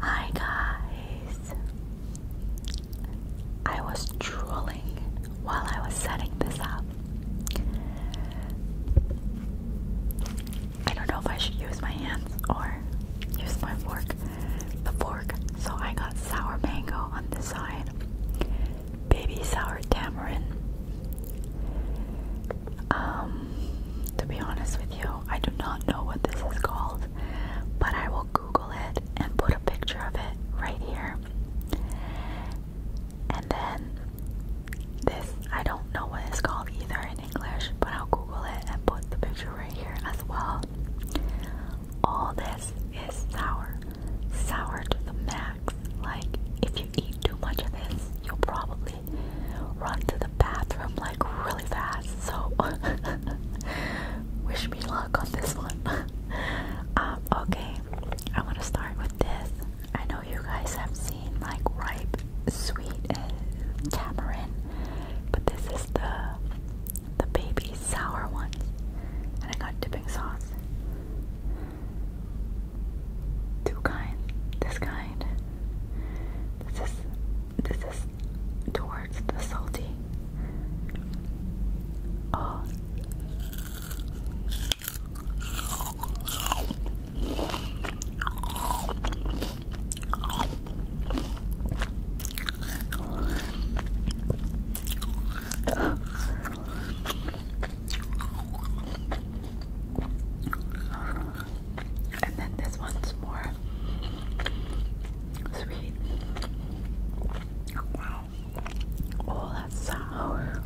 Hi guys! I was drooling while I was setting this up. I don't know if I should use my hands or use my fork, the fork. So I got sour mango on this side baby sour tamarind. Um, to be honest with you, I do not know what this is called, but I will Google it and put a picture of it right here. And then this, I don't know what it's called either in English, but I'll Google it and put the picture right here as well. All this is sour, sour the max. Like, if you eat too much of this, you'll probably run to the bathroom like really fast. So, wish me luck on this one. um, okay, I want to start with this. I know you guys have seen like ripe, sweet, tamarind, but this is the the baby sour one, and I got dipping sauce. Two kind. This kind. This is this is towards the salty. Oh. And then this one's more sweet. Oh, that's sour.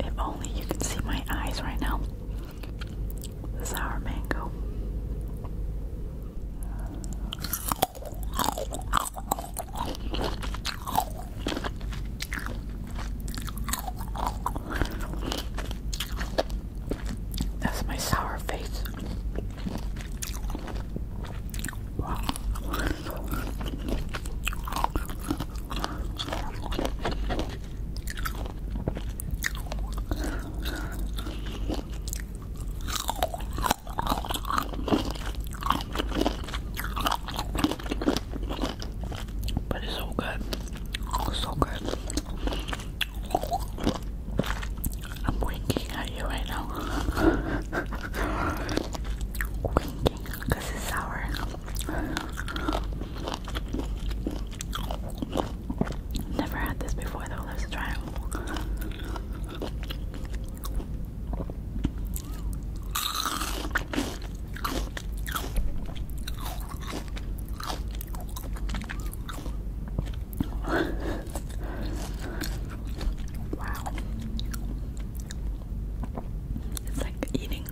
If only you can see my eyes right now. sour mango. That's my sour face. Wow. But it's so good. So good. I'm winking at you right now. because it's sour. Never had this before though, let's try it wow. It's like eating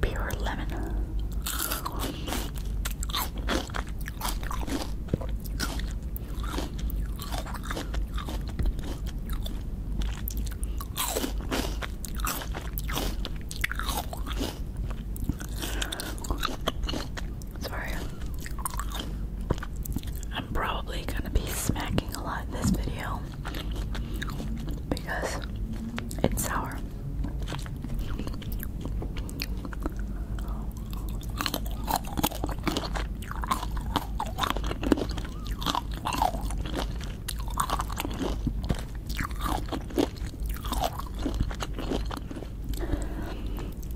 pure lemon. Sorry. I'm probably gonna be smacking a lot in this video because it's sour.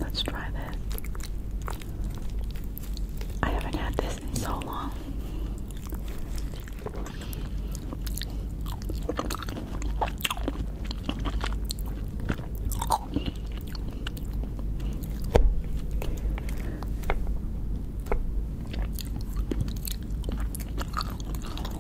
Let's try this. I haven't had this in so long.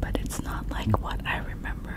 But it's not like what I remember.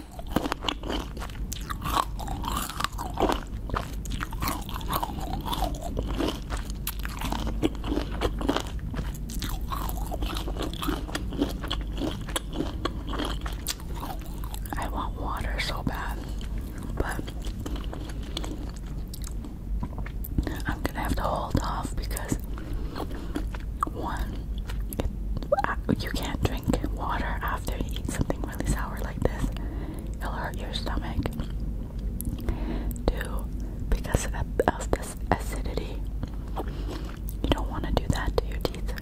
I want water so bad, but I'm gonna have to hold off because one, uh, you can't drink water after you eat something really sour like this, it'll hurt your stomach. Two, because of, of this acidity, you don't want to do that to your teeth.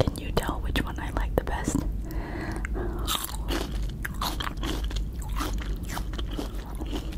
Can you tell which one I like the best?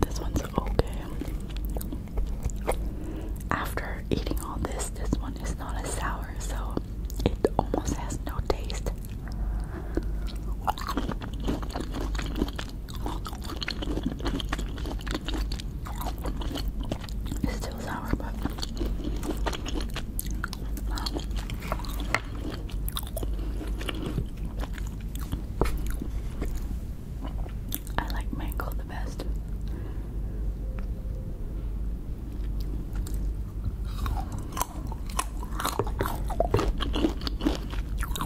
This one's okay. After eating all this, this one is not as sour, so it almost has no taste. It's still sour, but I like mango the best.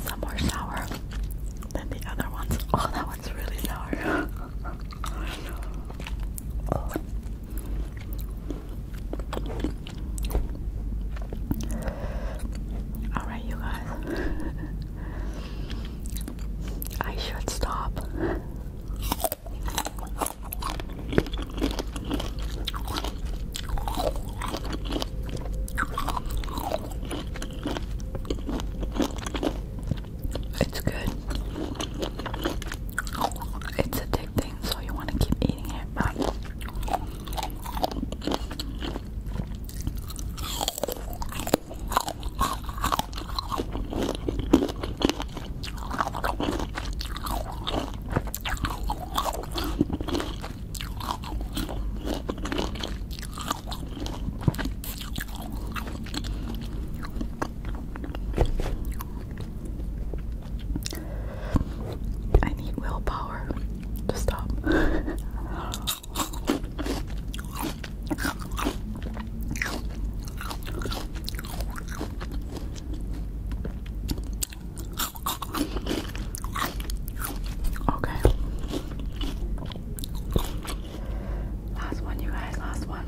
Some more sour than the other ones. Oh, that one's really sour. Alright, you guys. I should stop. It's good. It's addicting, so you want to keep eating it. But I need willpower to stop. Okay. Last one, you guys, last one.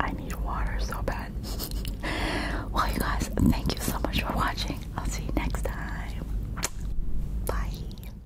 I need water so bad. well, you guys, thank you so much for watching. I'll see you next time. Bye.